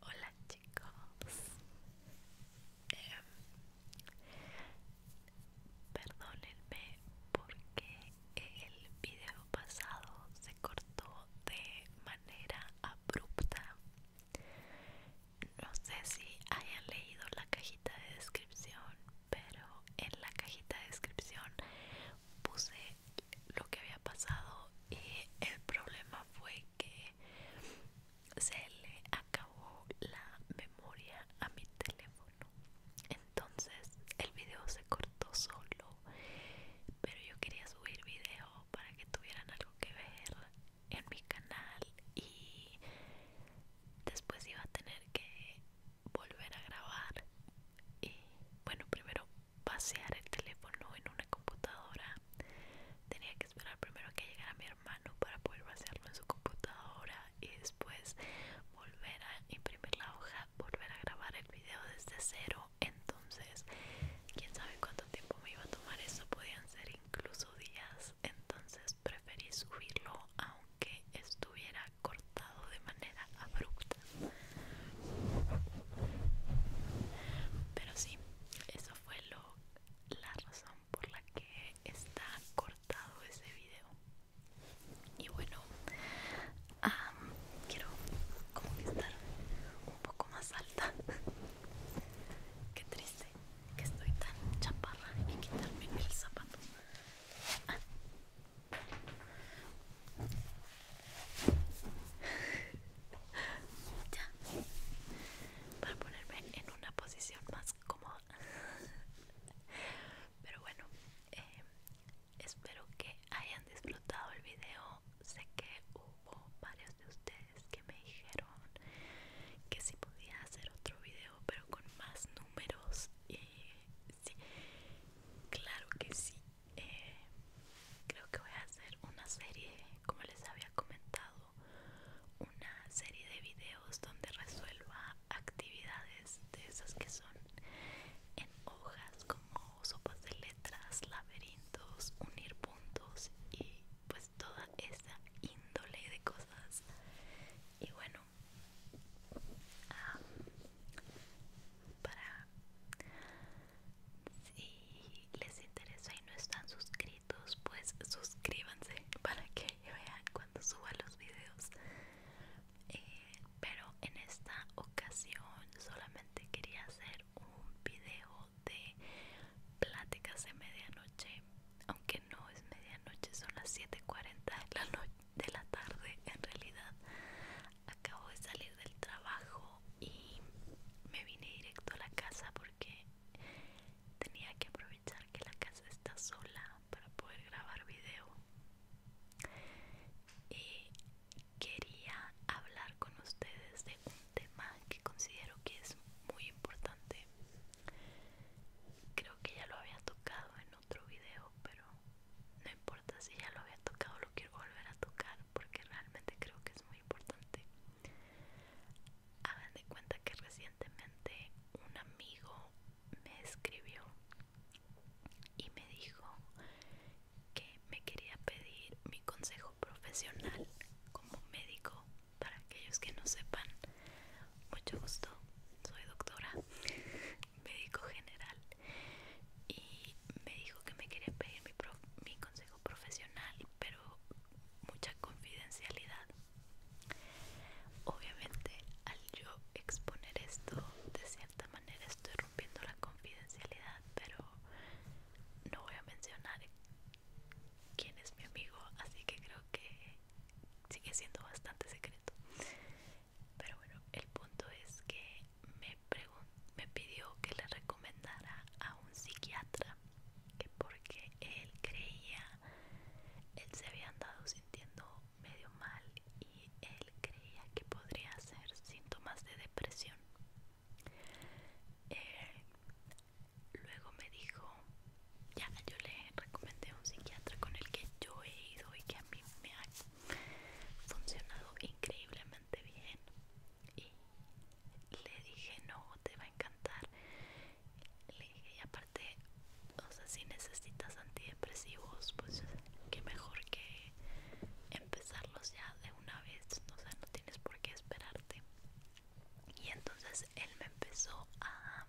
Hola chicos, em, perdónenme porque el video pasado se cortó de manera abrupta. No sé si hayan leído la cajita de descripción, pero en la cajita de descripción puse lo que había pasado y el problema fue que se le acabó la memoria a mi teléfono entonces el video se cortó solo pero yo quería subir video para que tuvieran algo que ver en mi canal y después iba a tener que volver a grabar y bueno primero pasear el teléfono en una computadora. Tenía que esperar primero que llegara mi hermano para poder vaciarlo en su computadora y después volver a imprimir la hoja, volver a grabar el video desde cero. Entonces, quién sabe cuánto tiempo me iba a tomar eso, podían ser incluso días. Entonces preferí subirlo aunque estuviera cortado de manera abrupta. Pero sí, eso fue la razón por la que está cortado ese video. Y bueno, quiero como que estar un poco más alta. Qué triste que estoy tan chaparra y quitarme el zapato. Ah, ya para ponerme en una posición más cómoda pero bueno eh, espero que hayan disfrutado el video sé que hubo varios de ustedes que me dijeron que si podía hacer otro video pero con más números y sí claro que sí eh, creo que voy a hacer una serie, como les había comentado, una serie de videos donde resuelva actividades de esas que son en hojas como sopas de letras, laberintos, unir puntos y pues toda esa índole de cosas. Y bueno, ah, para si les interesa y no están suscritos, pues suscríbanse para que vean cuando suba los videos. Eh, pero en esta ocasión solamente quería hacer un video de pláticas de medianoche, aunque no es medianoche, son las 7:40 la, noche de la tarde en realidad acabo de salir del trabajo y me vine directo a la casa porque tenía que aprovechar que la casa está sola para poder grabar video y quería hablar con ustedes de un tema que considero que es muy importante creo que ya lo había tocado en otro video pero no importa si ya lo había tocado lo quiero volver a tocar porque realmente creo que es muy importante. Hagan de cuenta que recientemente un amigo me escribió y me dijo que me quería pedir mi consejo profesional como médico para aquellos que no sepan. Mucho gusto, soy doctora, médico general y me dijo que me quería pedir mi, consejo profesional, pero mucha confidencialidad. Obviamente, al yo exponer esto, de cierta manera estoy rompiendo la confidencialidad, pero no voy a mencionar quién es mi amigo, así que creo que sigue siendo bastante secreto. Pero bueno, el punto es que me, pidió que le recomendara a un psiquiatra que porque él creía, él se había andado sintiendo medio mal y él creía que podría ser síntomas de depresión. Eh, luego me dijo, ya yo le recomendé a un psiquiatra con el que yo he ido y que a mí me ha funcionado increíblemente bien y le dije no te va a encantar le dije y aparte o sea si necesitas antidepresivos pues qué mejor que empezarlos ya de una vez o sea no tienes por qué esperarte y entonces él me empezó a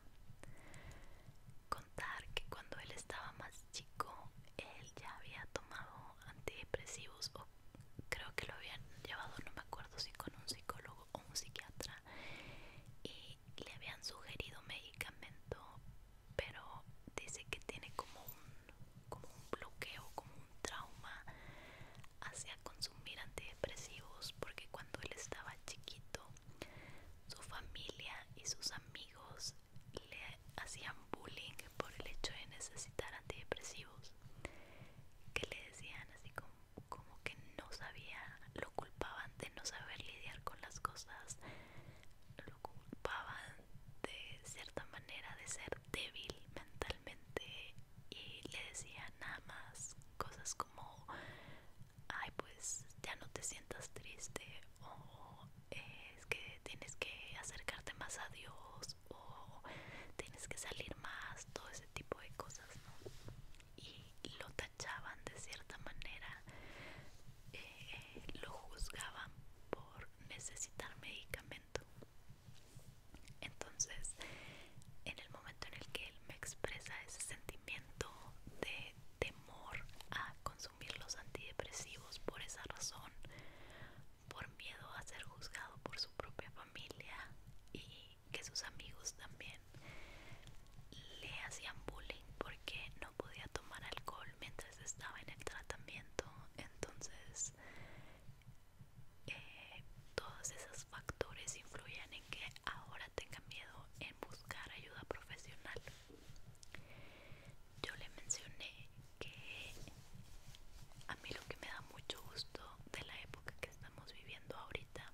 contar que cuando él estaba más chico él ya había tomado antidepresivos o creo que lo habían llevado, no me acuerdo si con un psicólogo o un psiquiatra y le habían sugerido medicamento pero dice que tiene como un, como un bloqueo, como un trauma hacia consumir antidepresivos porque cuando él estaba chiquito su familia y sus amigos le hacían bullying por el hecho de necesitar antidepresivos que le decían así como, que no sabía lo culpaban de no saber lidiar con las cosas lo culpaban de cierta manera de ser débil mentalmente y le decían nada más cosas como ay pues ya no te sientas triste o es que tienes que acercarte más a Dios o tienes que salir más, todo ese tipo de cosas, Y lo tachaban de cierta manera, eh, lo juzgaban por necesitar medicamento. Entonces, en el momento en el que él me expresa ese sentimiento de temor a consumir los antidepresivos por esa razón, por miedo a ser juzgado por su propia familia y que sus amigos también le hacían bullying porque no podía tomar alcohol mientras estaba en el tratamiento. Entonces, eh, todos esos factores influyen en que ahora tenga miedo en buscar ayuda profesional. Yo le mencioné que a mí lo que me da mucho gusto de la época que estamos viviendo ahorita,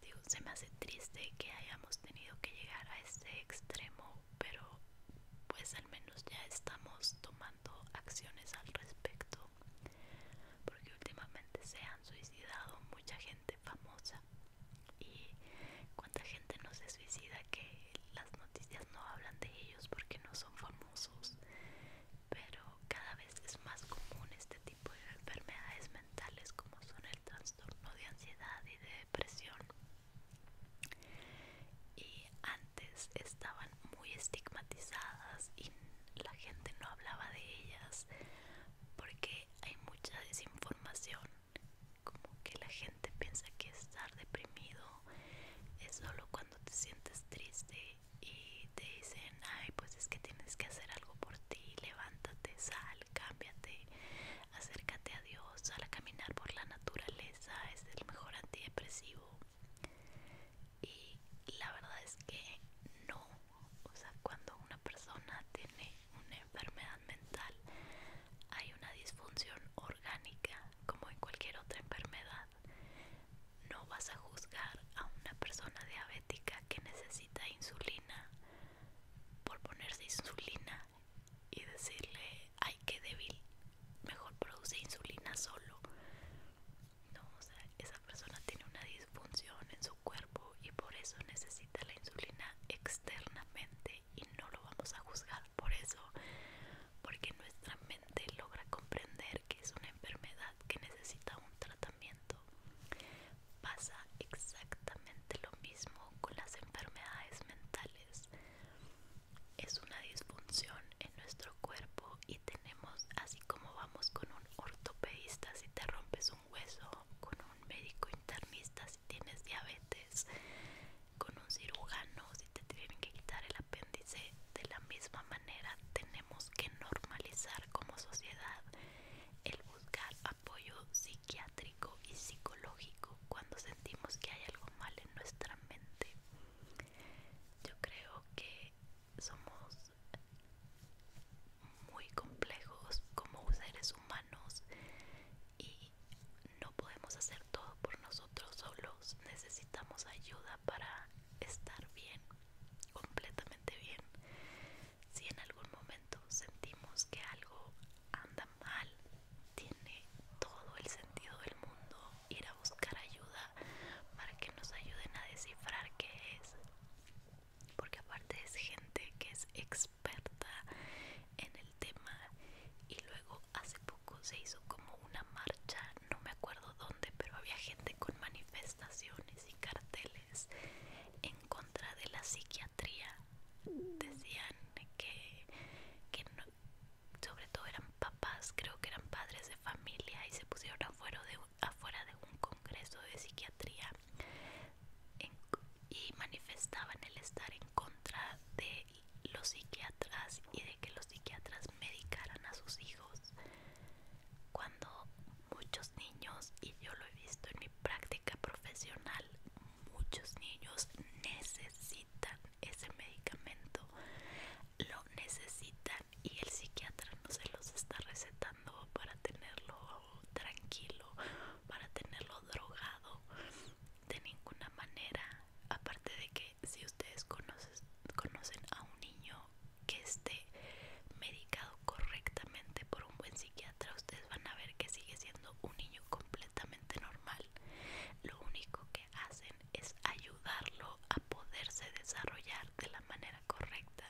digo, se me hace triste que hayamos tenido que llegar a este extremo, pero pues al menos ya estamos tomando acciones al respecto, porque últimamente se han suicidado mucha gente famosa y cuánta gente no se suicida que las noticias no hablan de ellos porque no son famosos pero cada vez es más común este tipo de enfermedades mentales como son el trastorno de ansiedad y de depresión y antes estaban muy estigmatizadas y la gente no hablaba de ellas porque hay mucha desinformación como que la gente piensa que estar deprimido es solo cuando te sientes triste y te dicen, ay, pues es que tienes que hacer algo por ti, levántate, sal, cámbiate, acércate a Dios, sal a caminar por la naturaleza, es el mejor antidepresivo. Y la verdad es que no, o sea, cuando una persona tiene una enfermedad mental, hay una disfunción orgánica como en cualquier otra enfermedad. No vas a juzgar a una persona diabética que necesita insulina por ponerse insulina y decirle, ay, qué débil, mejor produce insulina solo. No, o sea, esa persona tiene una disfunción en su cuerpo y por eso necesita la insulina externamente y no lo vamos a juzgar por eso porque nuestra mente logra comprender que es una enfermedad que necesita un tratamiento pasa exactamente lo mismo con las enfermedades mentales es una disfunción en nuestro cuerpo y tenemos así como vamos con un ortopedista si te rompes un hueso con un médico internista si tienes diabetes con un cirujano si te tienen que quitar el apéndice de la misma manera tenemos que normalizar como sociedad el buscar apoyo psiquiátrico y psicológico cuando sentimos que hay algo mal en nuestra mente yo creo que somos muy complejos como seres humanos y no podemos hacer todo por nosotros solos, necesitamos ayuda para estar bien, completamente bien. Si en algún momento sentimos que algo anda mal, tiene todo el sentido del mundo ir a buscar ayuda para que nos ayuden a descifrar qué es. Porque aparte es gente que es experta en el tema y luego hace se hizo como una marcha, no me acuerdo dónde, pero había gente con manifestaciones y carteles en contra de la psiquiatría. Decían que, sobre todo eran papás, creo que eran padres de familia y se pusieron afuera de, afuera de un congreso de psiquiatría y manifestaban el estar en contra de los psiquiatras y de que los psiquiatras medicaran a sus hijos cuando muchos niños y yo lo he visto en mi práctica profesional muchos niños necesitan ese medicamento lo necesitan y el psiquiatra no se los está recetando para tenerlo tranquilo para tenerlo drogado de ninguna manera aparte de que si ustedes conocen, a un niño que esté medicado correctamente por un buen psiquiatra, ustedes van a ver que sigue siendo un niño completamente normal. Lo único que hacen es ayudarlo a poderse desarrollar de la manera correcta,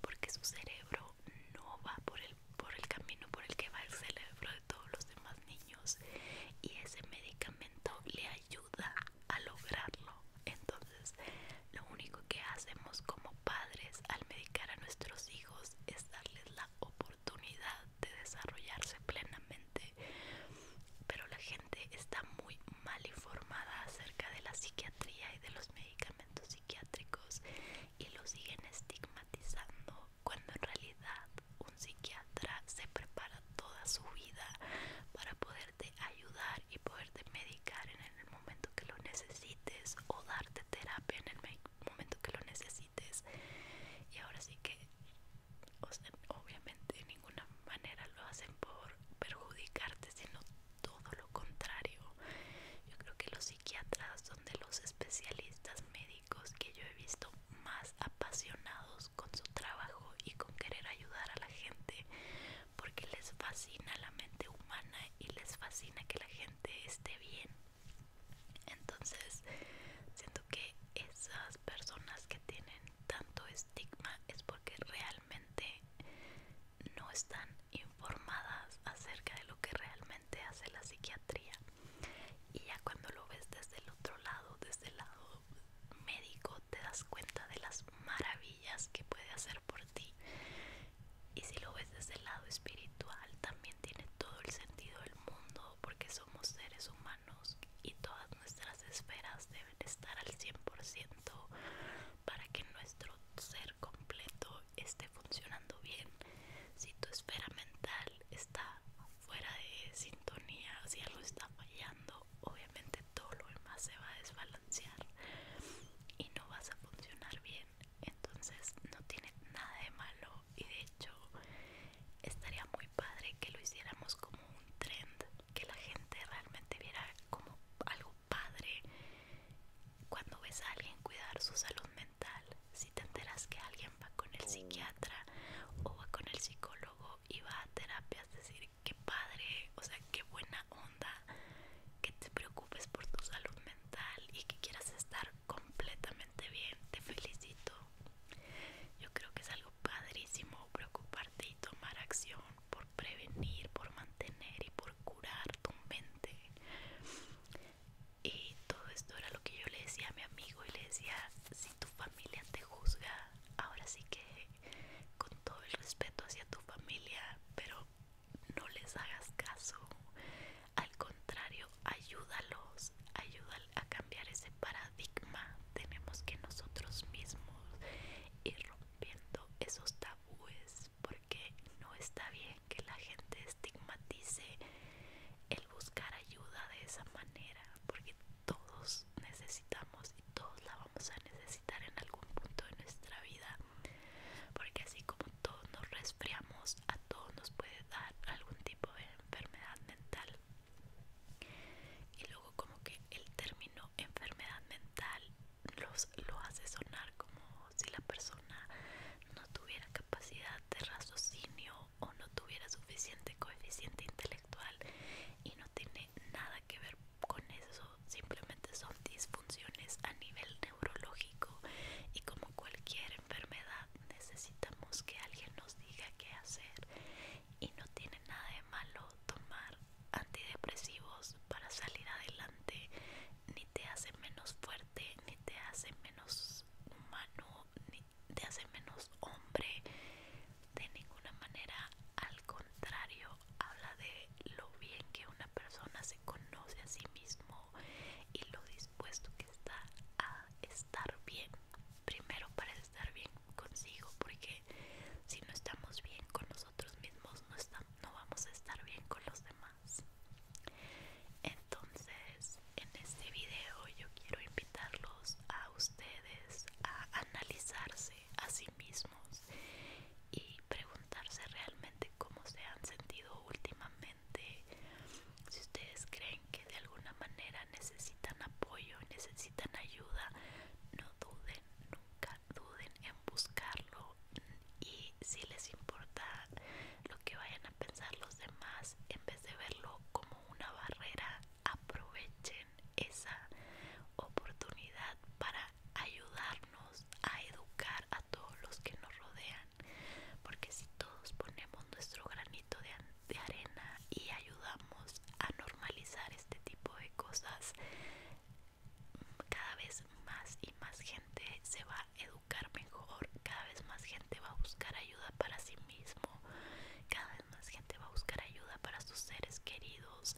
porque su cerebro no va por por el camino por el que va el cerebro todos los demás niños y ese medicamento le ayuda a lograrlo. Entonces, lo único que hacemos como padres al medicar a nuestros hijos es darles la oportunidad de desarrollarse plenamente. Pero la gente está muy mal informada acerca de la psiquiatría y de los medicamentos psiquiátricos y lo siguen estigmatizando cuando en realidad un psiquiatra se prepara toda su vida para poderte ayudar y poderte medicar en el momento que lo necesites o darte terapia en el momento que lo necesites. Y ahora sí que, obviamente de ninguna manera lo hacen por perjudicarte, sino todo lo contrario. Yo creo que los psiquiatras son de los especialistas médicos que yo he visto más apasionados con su trabajo y con querer ayudar a la gente porque les fascina la mente humana y les fascina que la gente esté bien. Entonces, siento que esas personas que tienen tanto estigma es porque realmente no están informadas acerca de lo que realmente hace la psiquiatría. Y ya cuando lo ves desde el otro lado, desde el lado médico te das cuenta de las maravillas que puede hacer por ti. Y si lo ves desde el lado espiritual, también tiene todo el sentido del mundo porque somos seres humanos y todas nuestras esferas deben estar al 100% para que nuestro ser completo esté funcionando bien. Si tu esfera mental está fuera de sintonía, si algo está fallando, obviamente todo lo demás se va a desbalancear y no vas a funcionar bien. Entonces no tiene nada de malo y de hecho estaría muy padre que lo hiciéramos como un trend, que la gente realmente viera como algo padre cuando ves a alguien cuidar su salud mental. Si te enteras que alguien va con el mm. psiquiatra o va con el psicólogo iba a terapias decir qué padre, o sea, qué buena onda que te preocupes por tu salud mental y que quieras estar completamente bien, te felicito. Yo creo que es algo padrísimo preocuparte y tomar acción por prevenir, por mantener y por curar tu mente. Y todo esto era lo que yo le decía a mi amigo y le decía, si tu familia te juzga, ahora sí que con todo el respeto hacia tu familia, pero no les hagas caso, al contrario, ayúdalos, ayúdal a cambiar ese paradigma. Tenemos que nosotros mismos ir rompiendo esos tabúes porque no está bien que la gente estigmatice el buscar ayuda de esa manera, porque todos necesitamos y todos la vamos a necesitar en algún punto de nuestra vida porque así como todos nos resfriamos a todos nos puede dar algún tipo de enfermedad mental y luego como que el término enfermedad mental los, lo hace sonar como si la persona no tuviera capacidad de raciocinio o no tuviera suficiente coeficiente intelectual actual y no tiene nada que ver con eso, simplemente son disfunciones a nivel neurológico y como cualquier enfermedad necesitamos que alguien nos diga qué hacer y no tiene nada de malo tomar antidepresivos para salir adelante, ni te hace menos fuerte, ni te hace menos humano, ni de hacer menos hombre de ninguna manera al contrario habla de lo bien que una persona se conoce a sí mismo y lo dispuesto que está a estar bien primero para estar bien consigo porque si no estamos bien con nosotros mismos no, no vamos a estar bien con los demás entonces en este video yo quiero invitarlos a ustedes a analizarse a sí mismos y preguntarse realmente cómo se han sentido últimamente, si ustedes creen que de alguna manera necesitan apoyo, necesitan ayuda, no duden, nunca duden en buscarlo y si les importa lo que vayan a pensar los demás, en vez de verlo como una barrera, aprovechen esa oportunidad para ayudarnos a educar a todos los que nos rodean, porque si todos ponemos nuestro granito de, de arena y ayudamos a normalizar este tipo de cosas, cada vez más y más gente se va a educar mejor, cada vez más gente va a buscar ayuda para sí mismo. Cada vez más gente va a buscar ayuda para sus seres queridos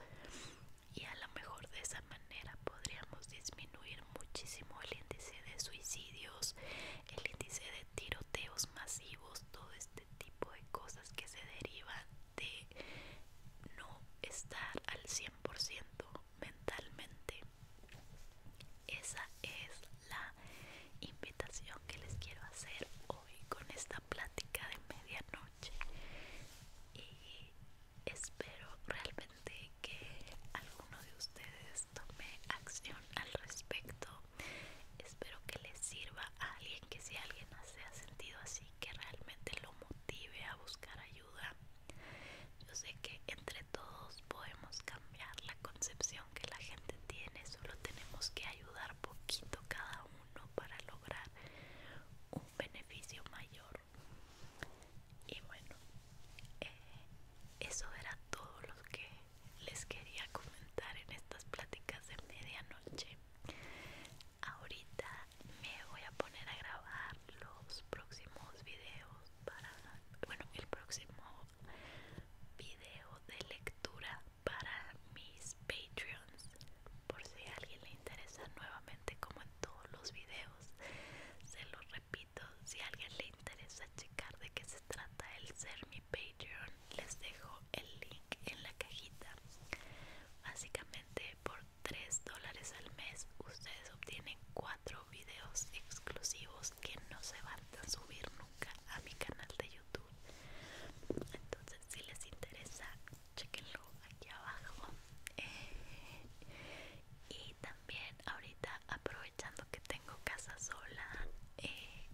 y a lo mejor de esa manera podríamos disminuir muchísimo el índice de suicidios, el índice de tiroteos masivos, todo este tipo de cosas que se derivan de no estar al 100% mentalmente. Esa es la invitación que les quiero hacer con esta plática de medianoche y espero realmente que alguno de ustedes tome acción al respecto espero que les sirva a alguien que si alguien se ha sentido así que realmente lo motive a buscar ayuda yo sé que entre todos podemos cambiar la concepción que la gente tiene, solo tenemos que ayudar poquito cada uno para lograr un beneficio mayor. Y bueno, eh, eso era todo lo que les quería comentar en estas pláticas de medianoche. Ahorita me voy a poner a grabar los próximos videos para, bueno, el próximo video de lectura para mis Patreons, por si a alguien le interesa nuevamente, como en todos los videos, se los repito, si a alguien le interesa checar de qué se trata el ser mi Patreon, les dejo el link en la cajita. Básicamente por 3 dólares al mes ustedes obtienen 4 videos exclusivos que no se van a subir nunca a mi canal de YouTube. Entonces, si les interesa, chequenlo aquí abajo. Eh, y también, ahorita aprovechando que tengo casa sola, eh,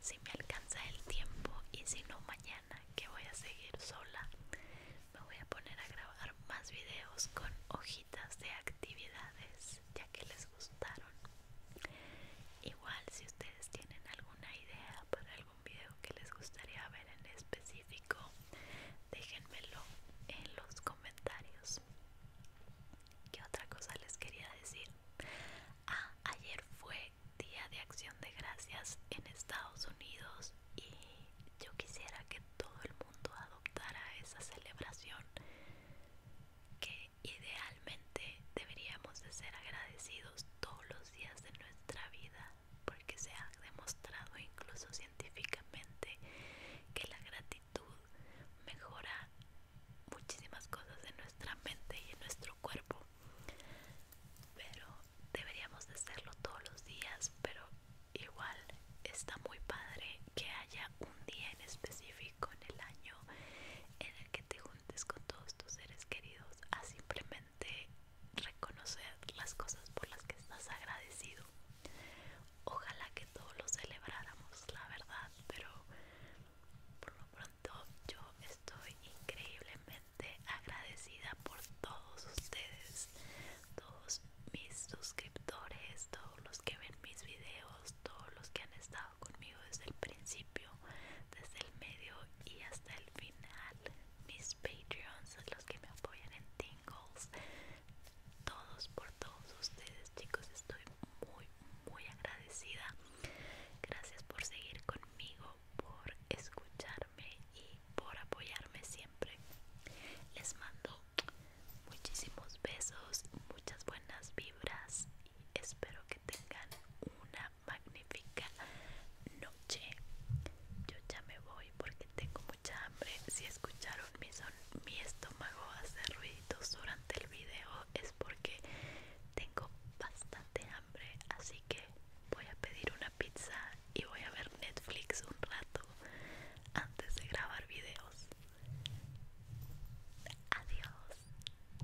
si me alcanza el tiempo y si no, mañana que voy a seguir sola, me voy a poner a grabar más videos con hojitas de actividades ya que les gustaron Igual si ustedes tienen alguna idea para algún video que les gustaría ver en específico, déjenmelo en los comentarios. ¿Qué otra cosa les quería decir? Ah, ayer fue Día de Acción de Gracias en Estados Unidos y yo quisiera que todo el mundo adoptara esa celebración que Idealmente deberíamos de ser agradecidos todos los días de nuestra vida porque se ha demostrado incluso científicamente que la gratitud mejora muchísimas cosas en nuestra mente y en nuestro cuerpo. Pero deberíamos de hacerlo todos los días, pero igual está muy padre que haya un día en específico en el año en el que te con todos tus seres queridos a simplemente reconocer las cosas por las que estás agradecido. Ojalá que todos lo celebráramos, la verdad, pero por lo pronto yo estoy increíblemente agradecida por todos ustedes, todos mis suscriptores, todos los que ven mis videos, todos los que han estado conmigo desde el principio, desde el medio y hasta el final. Mis Patreons, los que me apoyan en Tingles, todos por todos ustedes, chicos, estoy muy, muy agradecida. Gracias por seguir conmigo, por escucharme y por apoyarme siempre. Les mando muchísimos besos, muchas buenas vibras y espero que tengan una magnífica noche. Yo ya me voy porque tengo mucha hambre. Si escucharon mi, son mi estómago hacer ruiditos durante el video es porque tengo bastante hambre. Así que voy a pedir una pizza y voy a ver Netflix un rato antes de grabar videos. Adiós.